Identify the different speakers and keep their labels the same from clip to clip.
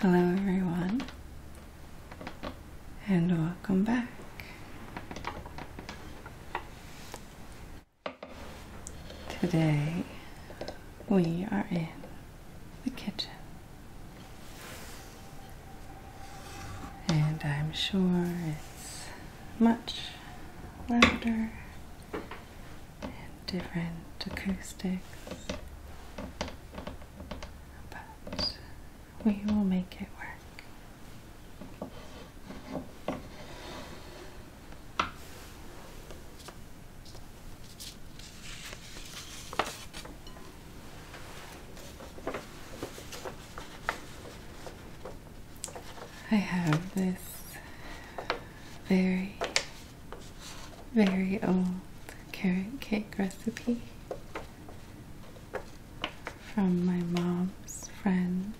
Speaker 1: Hello, everyone, and welcome back. Today we are in the kitchen, and I'm sure it's much louder and different acoustics, but we will make it work. I have this very, very old carrot cake recipe from my mom's friend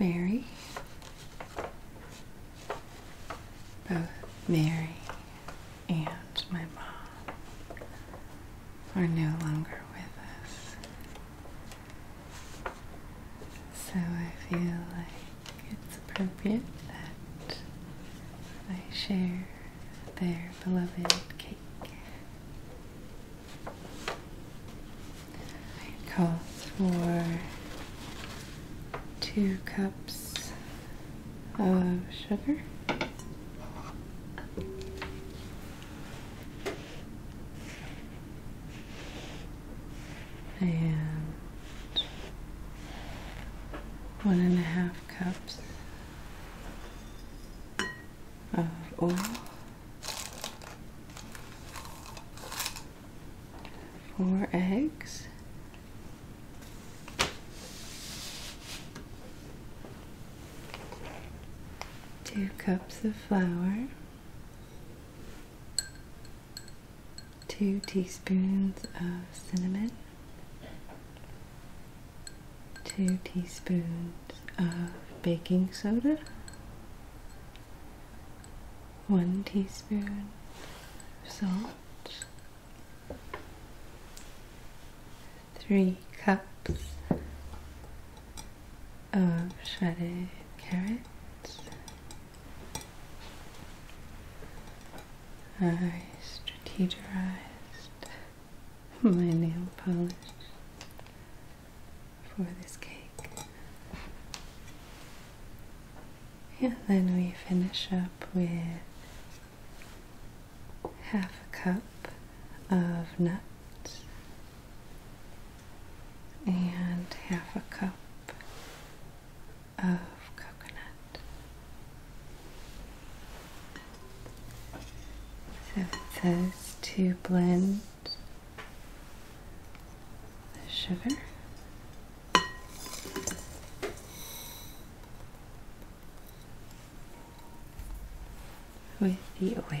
Speaker 1: Mary. Both Mary and my mom are no longer with us. So I feel like it's appropriate that I share their beloved cake. It calls for two cups of sugar and one and a half cups of oil, four eggs. Two cups of flour two teaspoons of cinnamon, two teaspoons of baking soda, one teaspoon of salt, three cups of shredded carrots, I strategized my nail polish for this cake. And then we finish up with half a cup of nuts and half a cup of coconut. So it says to blend the sugar. With the oil.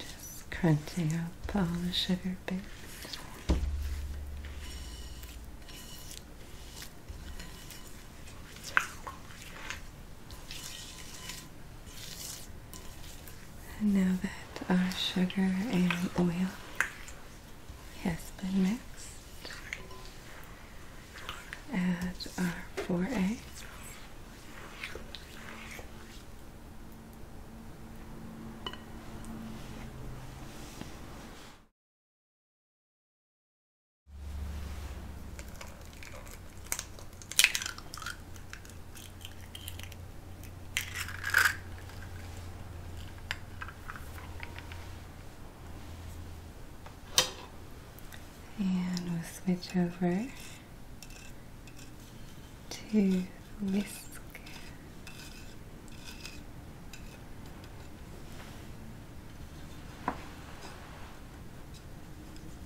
Speaker 1: Just crunching up all the sugar bits. And now that our uh, sugar and oil has been mixed, add our four eggs. And we'll switch over to whisk.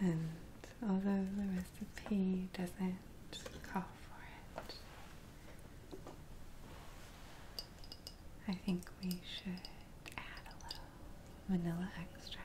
Speaker 1: And although the recipe doesn't call for it, I think we should add a little vanilla extract.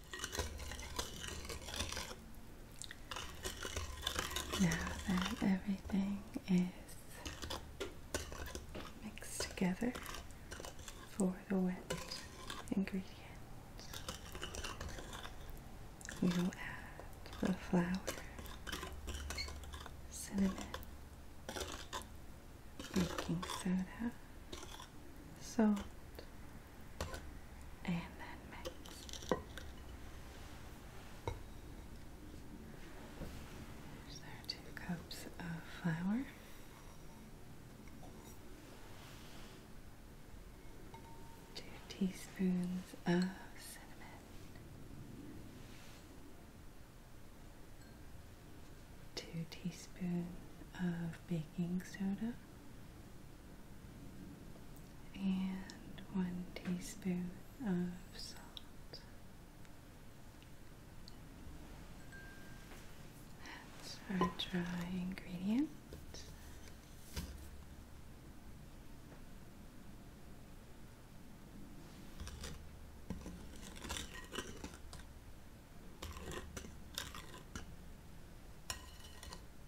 Speaker 1: Now that everything is mixed together for the wet ingredients, we will add the flour, cinnamon, baking soda, salt, and then mix. There's our two cups of flour. Two teaspoons of cinnamon. Two teaspoons of baking soda and one teaspoon of salt. That's our dry ingredient.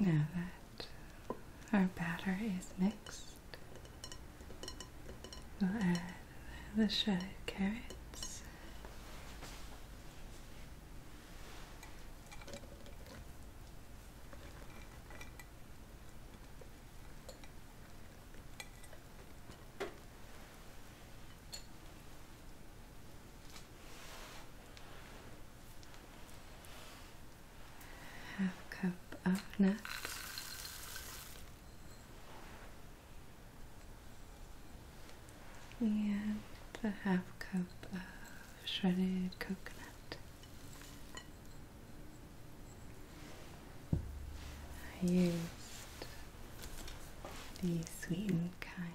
Speaker 1: Now that our batter is mixed, we'll add the shredded carrots Half cup of nuts and a half cup of shredded coconut. I used the sweetened kind.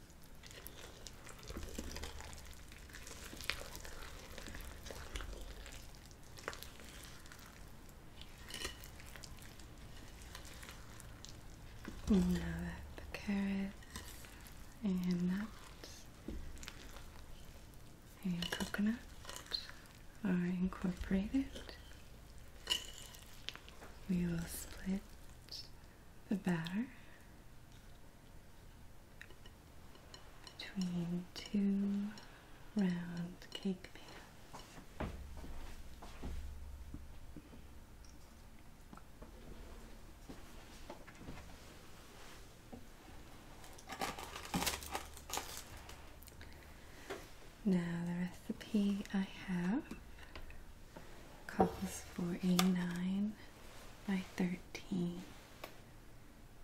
Speaker 1: Now that the carrots and nuts and coconut are incorporated, we will split the batter between two round cake pans. Now the recipe I have calls for a nine by 13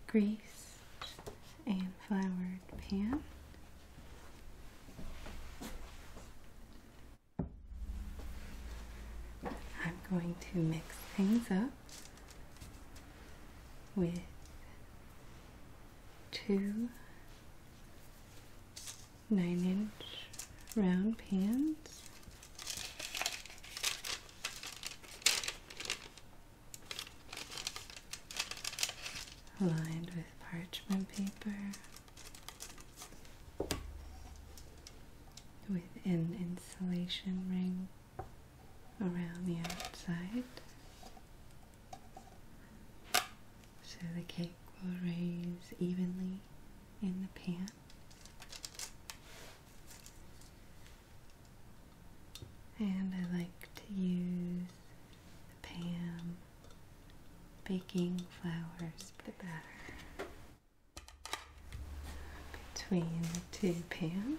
Speaker 1: grease and floured pan. I'm going to mix things up with two nine inch round pans lined with parchment paper with an insulation ring around the outside so the cake will raise evenly in the pan and I like to use the Pam baking flour for the batter between the two pans.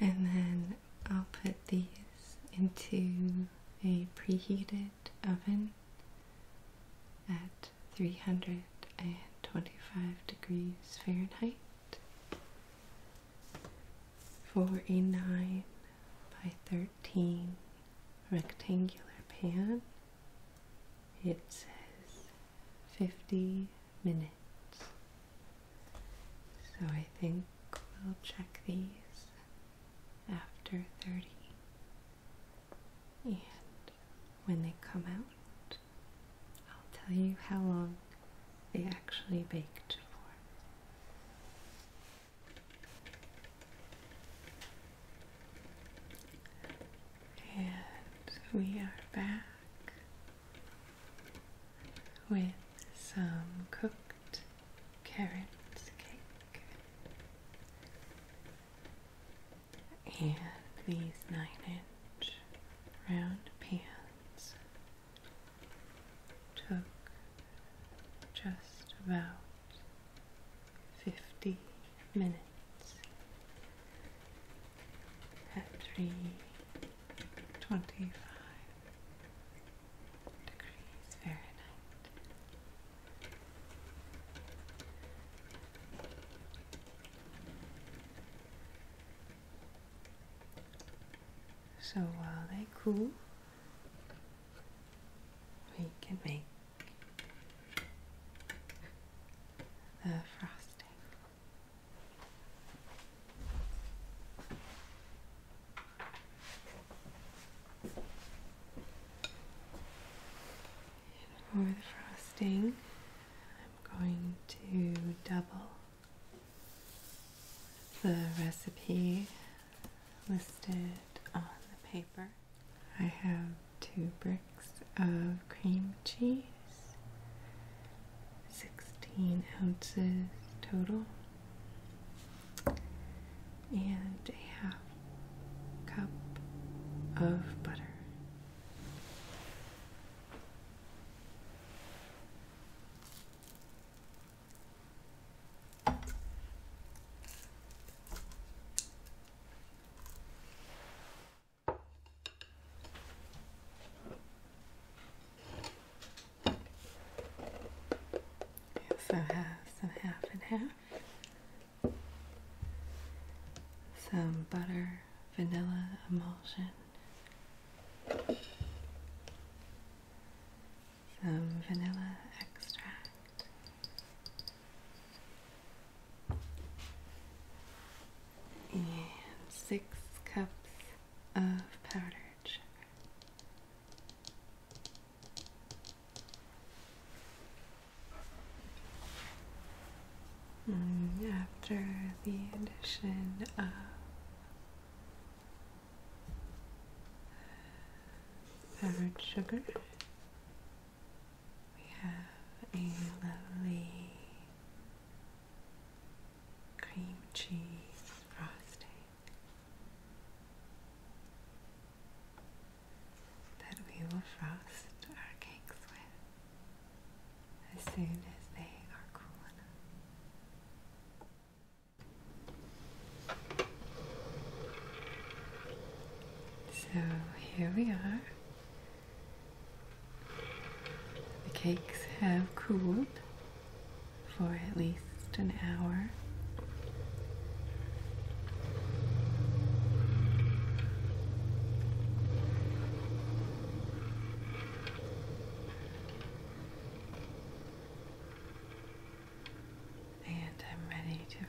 Speaker 1: And then I'll put these into a preheated oven at 325 degrees Fahrenheit for a 9 by 13 rectangular pan. It says 50 minutes. So I think we'll check these after 30. And when they come out, I'll tell you how long they actually baked for. And we are back with some cooked carrot cake and these nine inch round pans took just about 50 minutes at 325 degrees Fahrenheit. So while they cool, we can make the frosting. for the frosting, I'm going to double the recipe listed on the paper. I have two bricks of cream cheese, 16 ounces total, and a half cup of butter. We also have some half and half, some butter, vanilla emulsion some vanilla extract. And six cups of powdered sugar. Mm, after the addition of ferret sugar. We have a lovely cream cheese frosting that we will frost our cakes with as soon as they are cool enough. So here we are. The cakes have cooled for at least an hour and I'm ready to frost.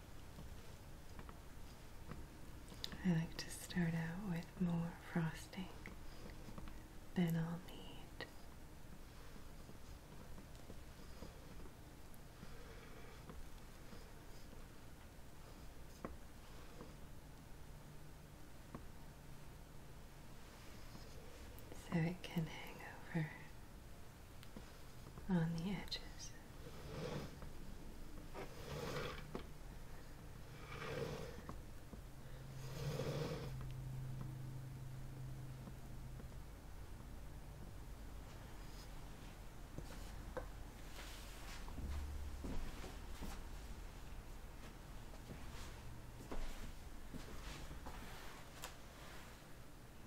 Speaker 1: I like to start out with more frosting than I'll need. So it can hang over on the edges.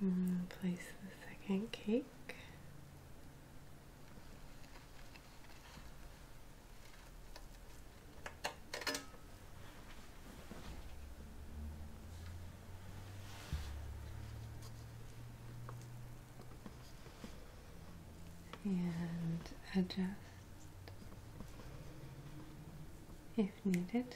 Speaker 1: Mm, place the second cake. And adjust if needed.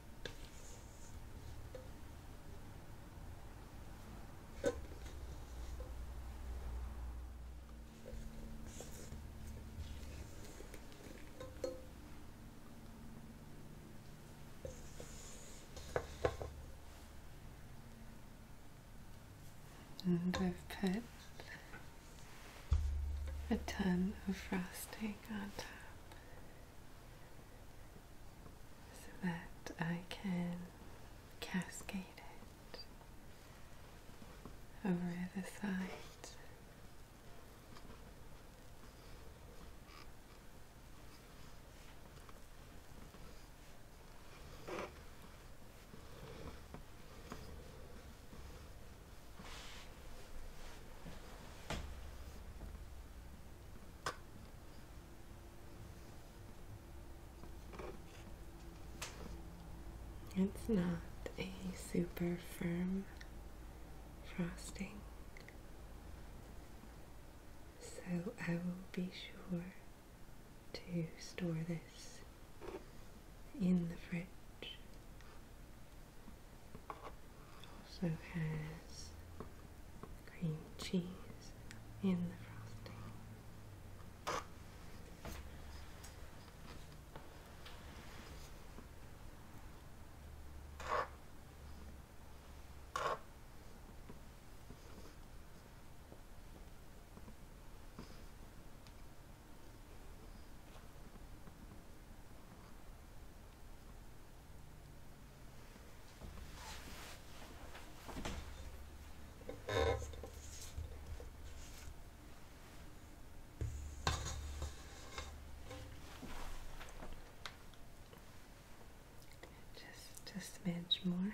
Speaker 1: And I've put a ton of frosting on top so that I can cascade it over the side. It's not a super firm frosting, so I will be sure to store this in the fridge also has cream cheese in the frosting. Just just a smidge more.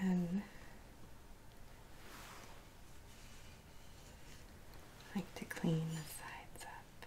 Speaker 1: then I like to clean the sides up.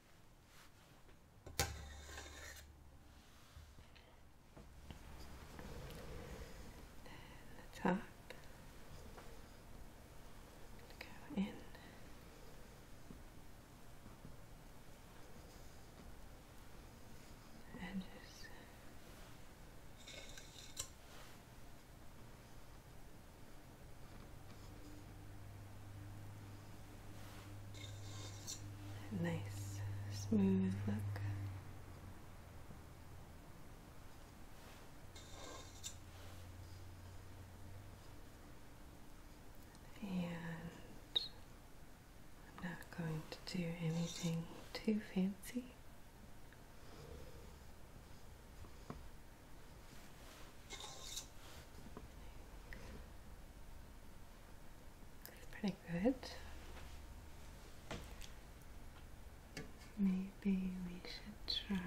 Speaker 1: top. Go in. And just nice smooth look. And I'm not going to do anything too fancy. That's pretty good. Maybe we should try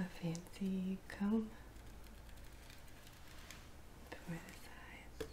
Speaker 1: a fancy comb for the sides.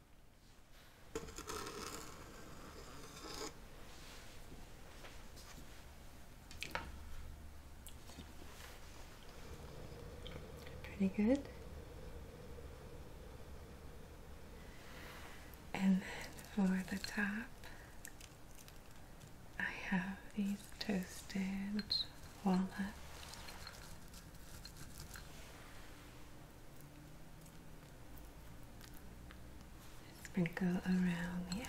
Speaker 1: Pretty good. And then for the top, I have these toasted walnuts. Sprinkle around the edge.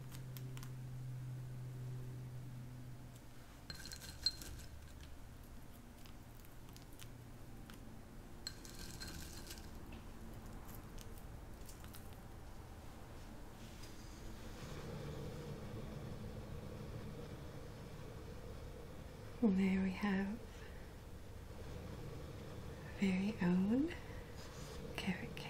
Speaker 1: There we have very own carrot cake.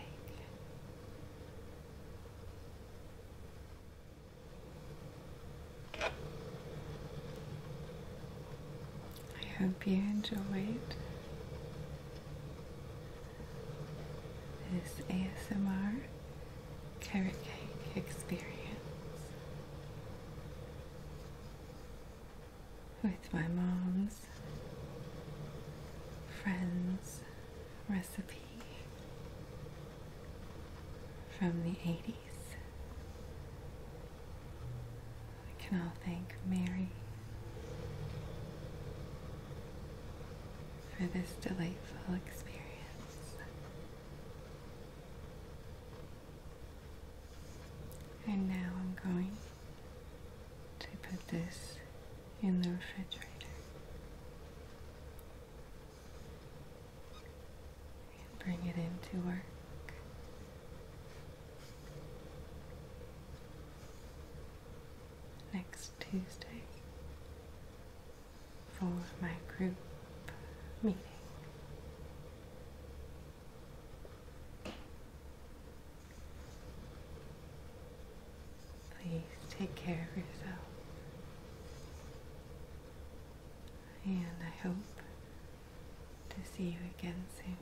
Speaker 1: I hope you enjoyed this ASMR carrot cake experience with my mom's friend's recipe from the 80s. We can all thank Mary for this delightful experience. And now I'm going to put this in the refrigerator. And bring it into work. Next Tuesday for my group meeting. Please take care of yourself. And I hope to see you again soon.